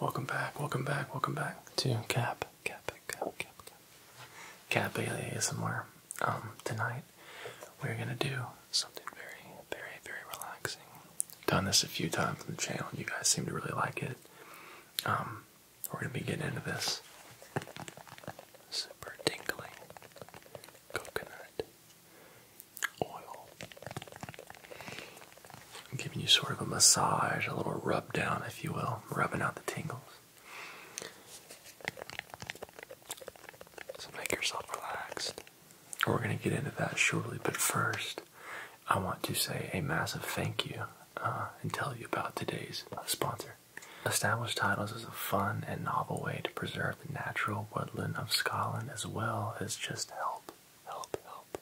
Welcome back, welcome back, welcome back to Cap, Cap, Cap, Cap, Cap, Cap Bailey ASMR. Um, tonight we're gonna do something very, very, very relaxing. I've done this a few times on the channel, and you guys seem to really like it. Um, we're gonna be getting into this super tingly coconut oil I'm giving you sort of a massage, a little rub down, if you will, rubbing out the tingles. So make yourself relaxed. We're going to get into that shortly, but first, I want to say a massive thank you uh, and tell you about today's sponsor. Established Titles is a fun and novel way to preserve the natural woodland of Scotland as well as just help, help, help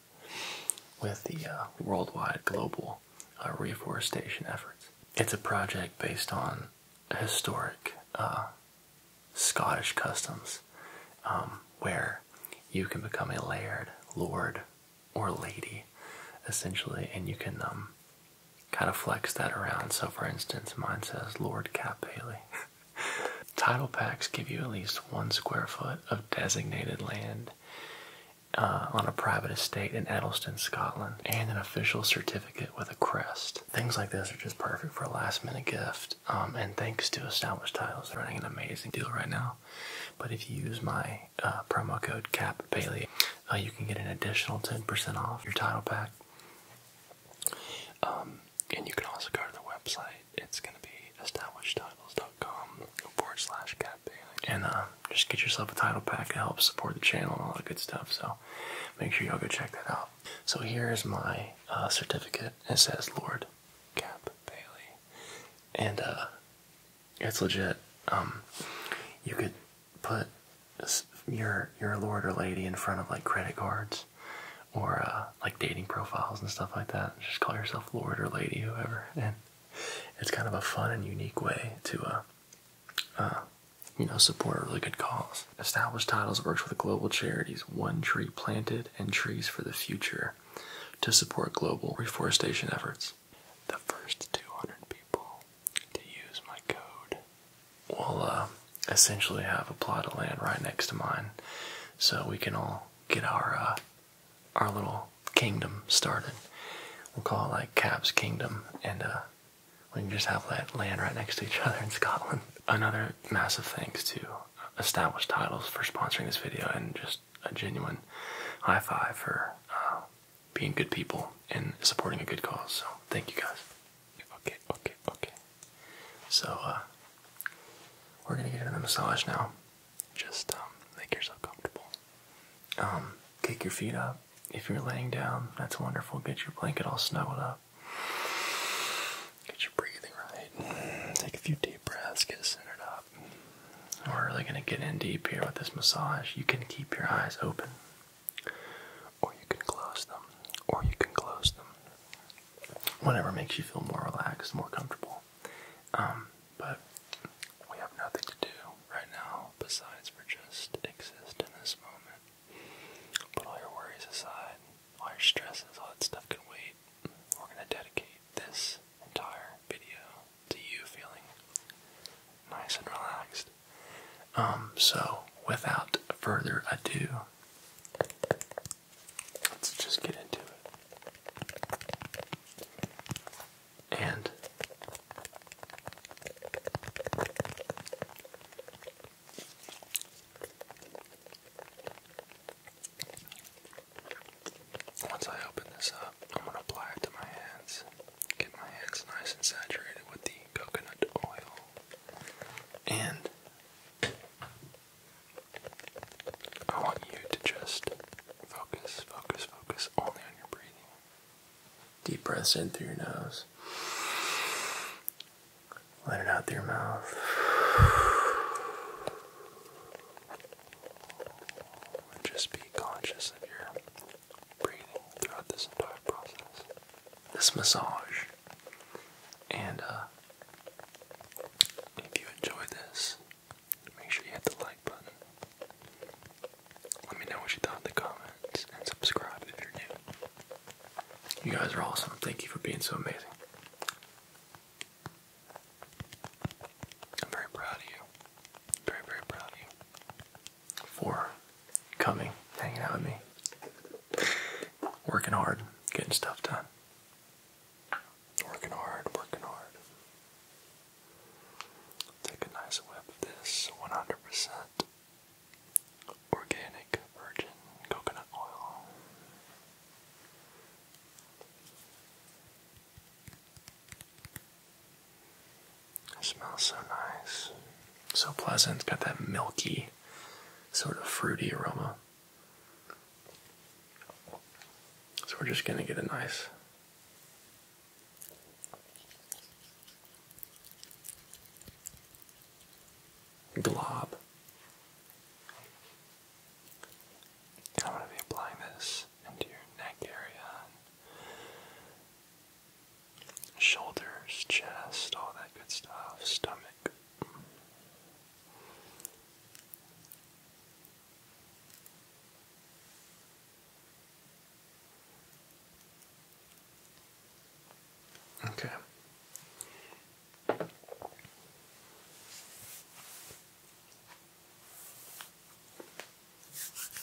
with the uh, worldwide global uh, reforestation efforts. It's a project based on historic uh, Scottish customs um, where you can become a laird, lord, or lady essentially, and you can um, kind of flex that around. So, for instance, mine says Lord Cap Haley. Title packs give you at least one square foot of designated land uh, on a private estate in Edelston, Scotland, and an official certificate with a crest. Things like this are just perfect for a last minute gift. Um, and thanks to Established Titles, they're running an amazing deal right now. But if you use my uh, promo code Cap uh, you can get an additional 10% off your title pack. Um, and you can also go to their website it's gonna be establishedtitles.com forward slash Cap campaign. And uh, just get yourself a title pack to help support the channel and all that good stuff. So make sure y'all go check that out. So here is my uh, certificate. It says Lord Cap Bailey. And uh, it's legit. Um, you could put your your lord or lady in front of like credit cards or uh, like dating profiles and stuff like that. Just call yourself Lord or Lady, whoever, and it's kind of a fun and unique way to, uh, uh, you know, support a really good cause. Established Titles works with global charities One Tree Planted and Trees for the Future to support global reforestation efforts. The first 200 people to use my code will essentially have a plot of land right next to mine, so we can all get our our little kingdom started. We'll call it like Cab's Kingdom, and uh, we can just have that land right next to each other in Scotland. Another massive thanks to Established Titles for sponsoring this video, and just a genuine high five for uh, being good people and supporting a good cause. So thank you guys. Okay, okay, okay. So uh, we're gonna get into the massage now. Just um, make yourself comfortable. Um, kick your feet up. If you're laying down, that's wonderful. Get your blanket all snuggled up. Get your breathing right. Take a few deep breaths. Get centered up. We're really gonna get in deep here with this massage. You can keep your eyes open, or you can close them, or you can close them. Whatever makes you feel more relaxed, more comfortable. Um, but we have nothing to do right now besides for just exist in this moment. Put all your worries aside, all your stresses, all that stuff can wait. We're gonna dedicate this entire video to you feeling nice and relaxed. Um, so without further ado, Let's just get into it. And once I open this up, I'm going to apply it to my hands. Get my hands nice and saturated with the coconut oil. And I want you to just focus, focus, focus only on your breathing. Deep breaths in through your nose. Let it out through your mouth. And just be conscious of your breathing throughout this entire process. This massage and uh, if you enjoyed this, make sure you hit the like button. Let me know what you thought in the comments and subscribe if you're new. You guys are awesome. Thank you for being so amazing. I'm very proud of you. Very, very proud of you. For coming, hanging out with me, working hard, getting stuff done. Working hard, working hard. Take a nice whip of this 100% organic virgin coconut oil. It smells so nice, so pleasant. Got that milky, sort of fruity aroma. So we're just going to get a nice glob. I'm going to be applying this into your neck area, shoulders, chest, all that good stuff, stomach. Okay. just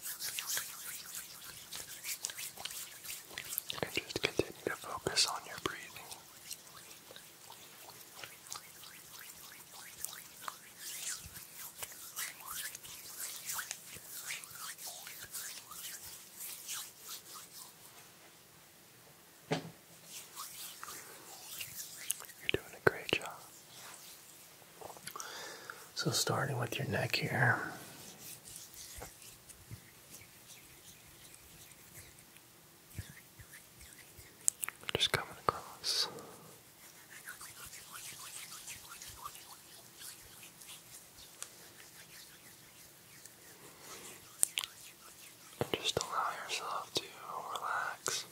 continue to focus on your breathing. You're doing a great job. So, starting with your neck here. Just coming across. just allow yourself to relax.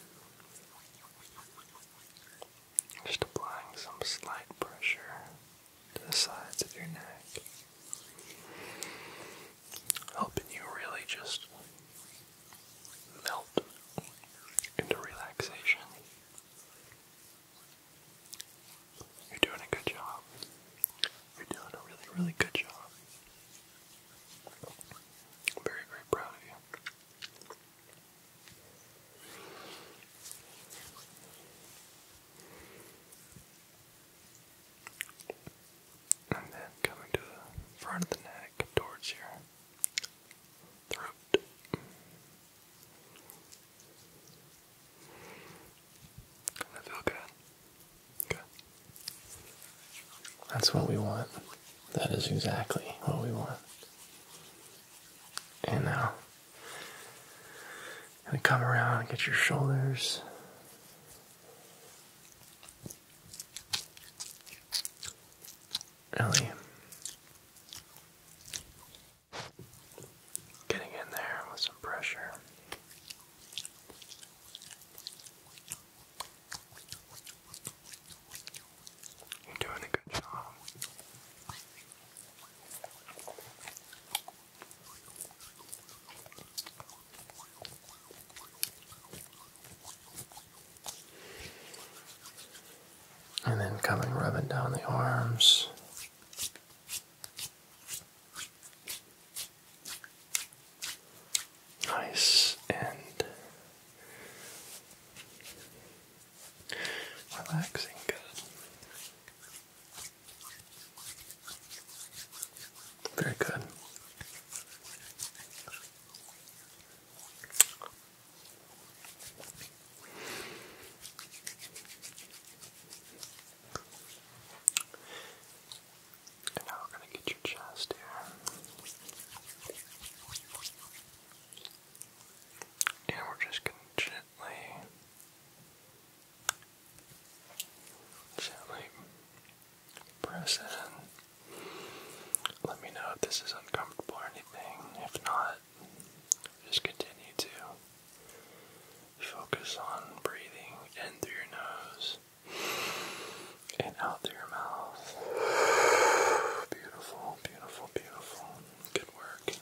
Just applying some slight pressure to the sides of your neck helping you really just melt into relaxation. You're doing a good job. You're doing a really, really good job. I'm very, very proud of you. And then coming to the front of the neck towards your throat. Does feel good? Good. That's what we want. That is exactly what we want. And now, gonna come around and get your shoulders. Ellie, getting in there with some pressure. You're doing a good job. And then coming rubbing down the arms. Nice and relaxing, good. Very good. And now we're going to get your chest here. And we're just going to gently Gently press in. Let me know if this is uncomfortable or anything. If not, just continue to focus on breathing in through your nose and out through your mouth. Beautiful, beautiful, beautiful. Good work.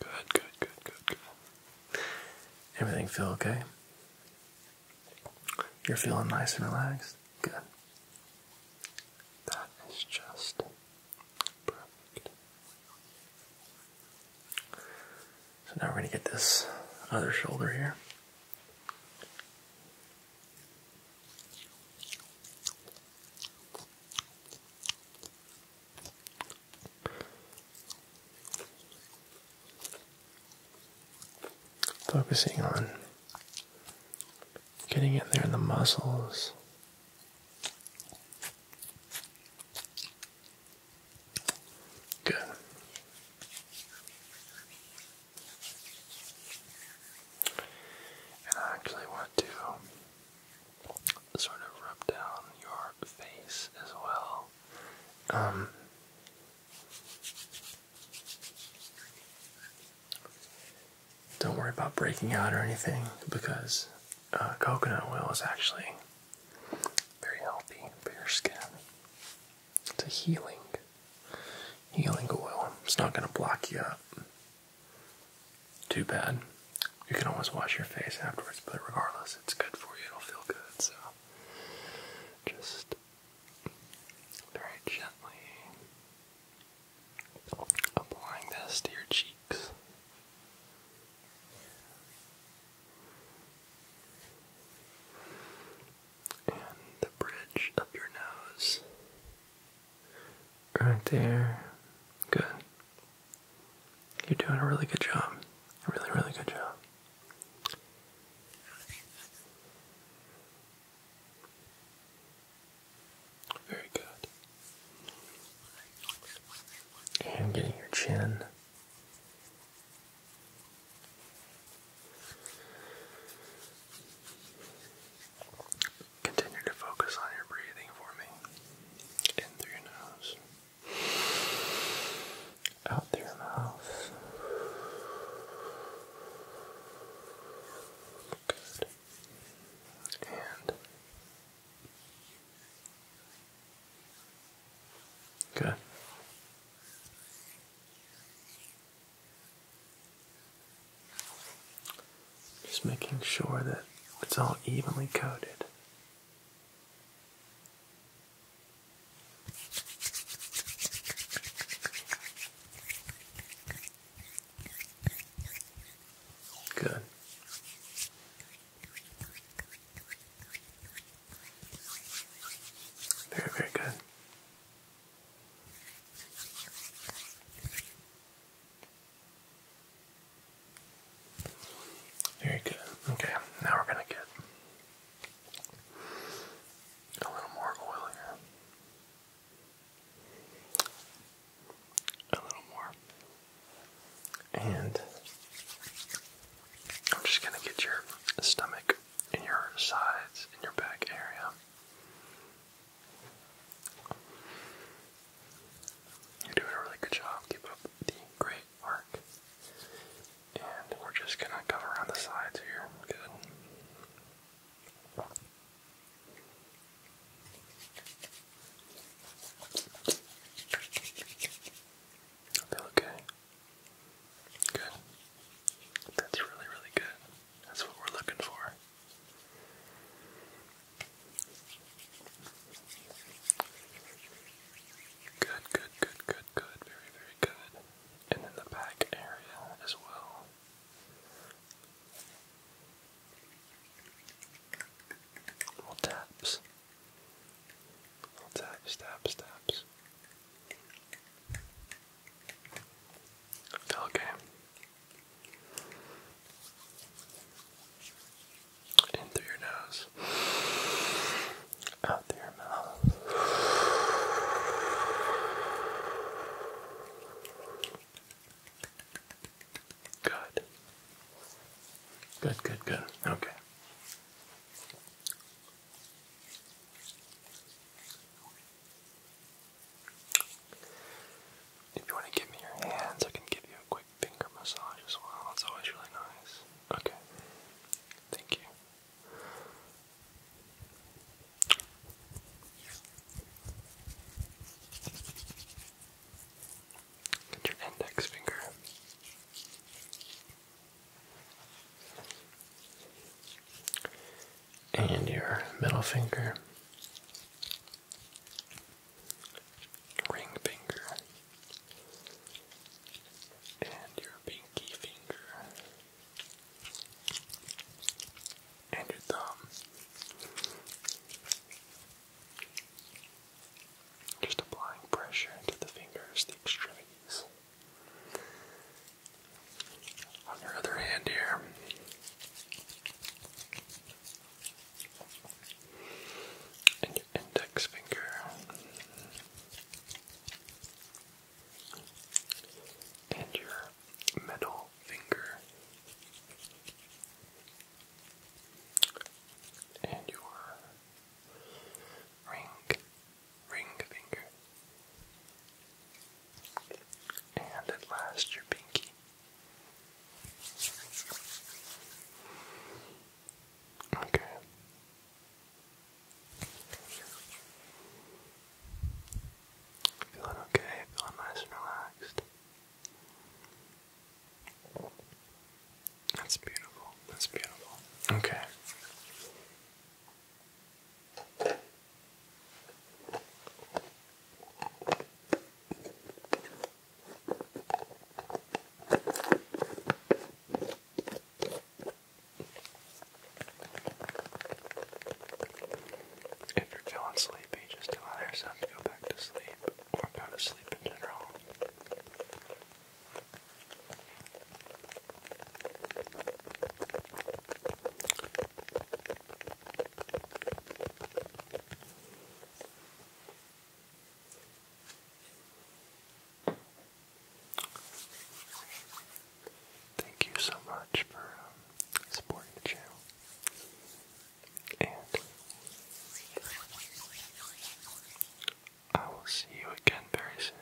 Good, good, good, good, good. Everything feel okay? You're feeling nice and relaxed? Good. That is just perfect. So now we're going to get this other shoulder here. Focusing on getting it there in the muscles. Good. And I actually want to sort of rub down your face as well. Um, don't worry about breaking out or anything because uh, coconut oil is actually very healthy for your skin. It's a healing healing oil. It's not going to block you up. Too bad. You can always wash your face afterwards, but regardless, it's good for you. It'll feel good. So just very gently applying this to your cheeks. And the bridge of your nose. Right there. Good. You're doing a really good job. A really, really good job. Very good. And getting your chin Continue to focus on your breathing for me. In through your nose, out through your mouth. Good. And good. Just making sure that it's all evenly coated. Good. Very, very good. Very good. Okay, now we're going to get a little more oil here. A little more. And I'm just going to get your stomach and your sides and your back area you're doing a really good job. Keep up the great work. And we're just gonna cover around the sides here. Good. okay. Good. That's really, really good. That's what we're looking for. Good, good, good, good, good. Very, very good. And then the back area as well. Little taps. Little taps, taps, taps. Okay. In through your nose, out through your mouth. Good. Good, good, good. Okay. If you want to give me your hands, I can give you a quick finger massage as well. That's always really nice. Okay. Thank you. Get your index finger and your middle finger, ring finger, and your pinky finger, and your thumb. Just applying pressure to the fingers, the extremities. On your other hand here, and your index finger, and your middle finger, and your ring ring finger. And at last, your pinky. Okay. Feeling okay, feeling nice and relaxed. That's beautiful, that's beautiful. Okay. If you're feeling sleepy, just tell yourself to go back to sleep or go to sleep in general. Thank you so much for um, supporting the channel. And I will see you again very soon.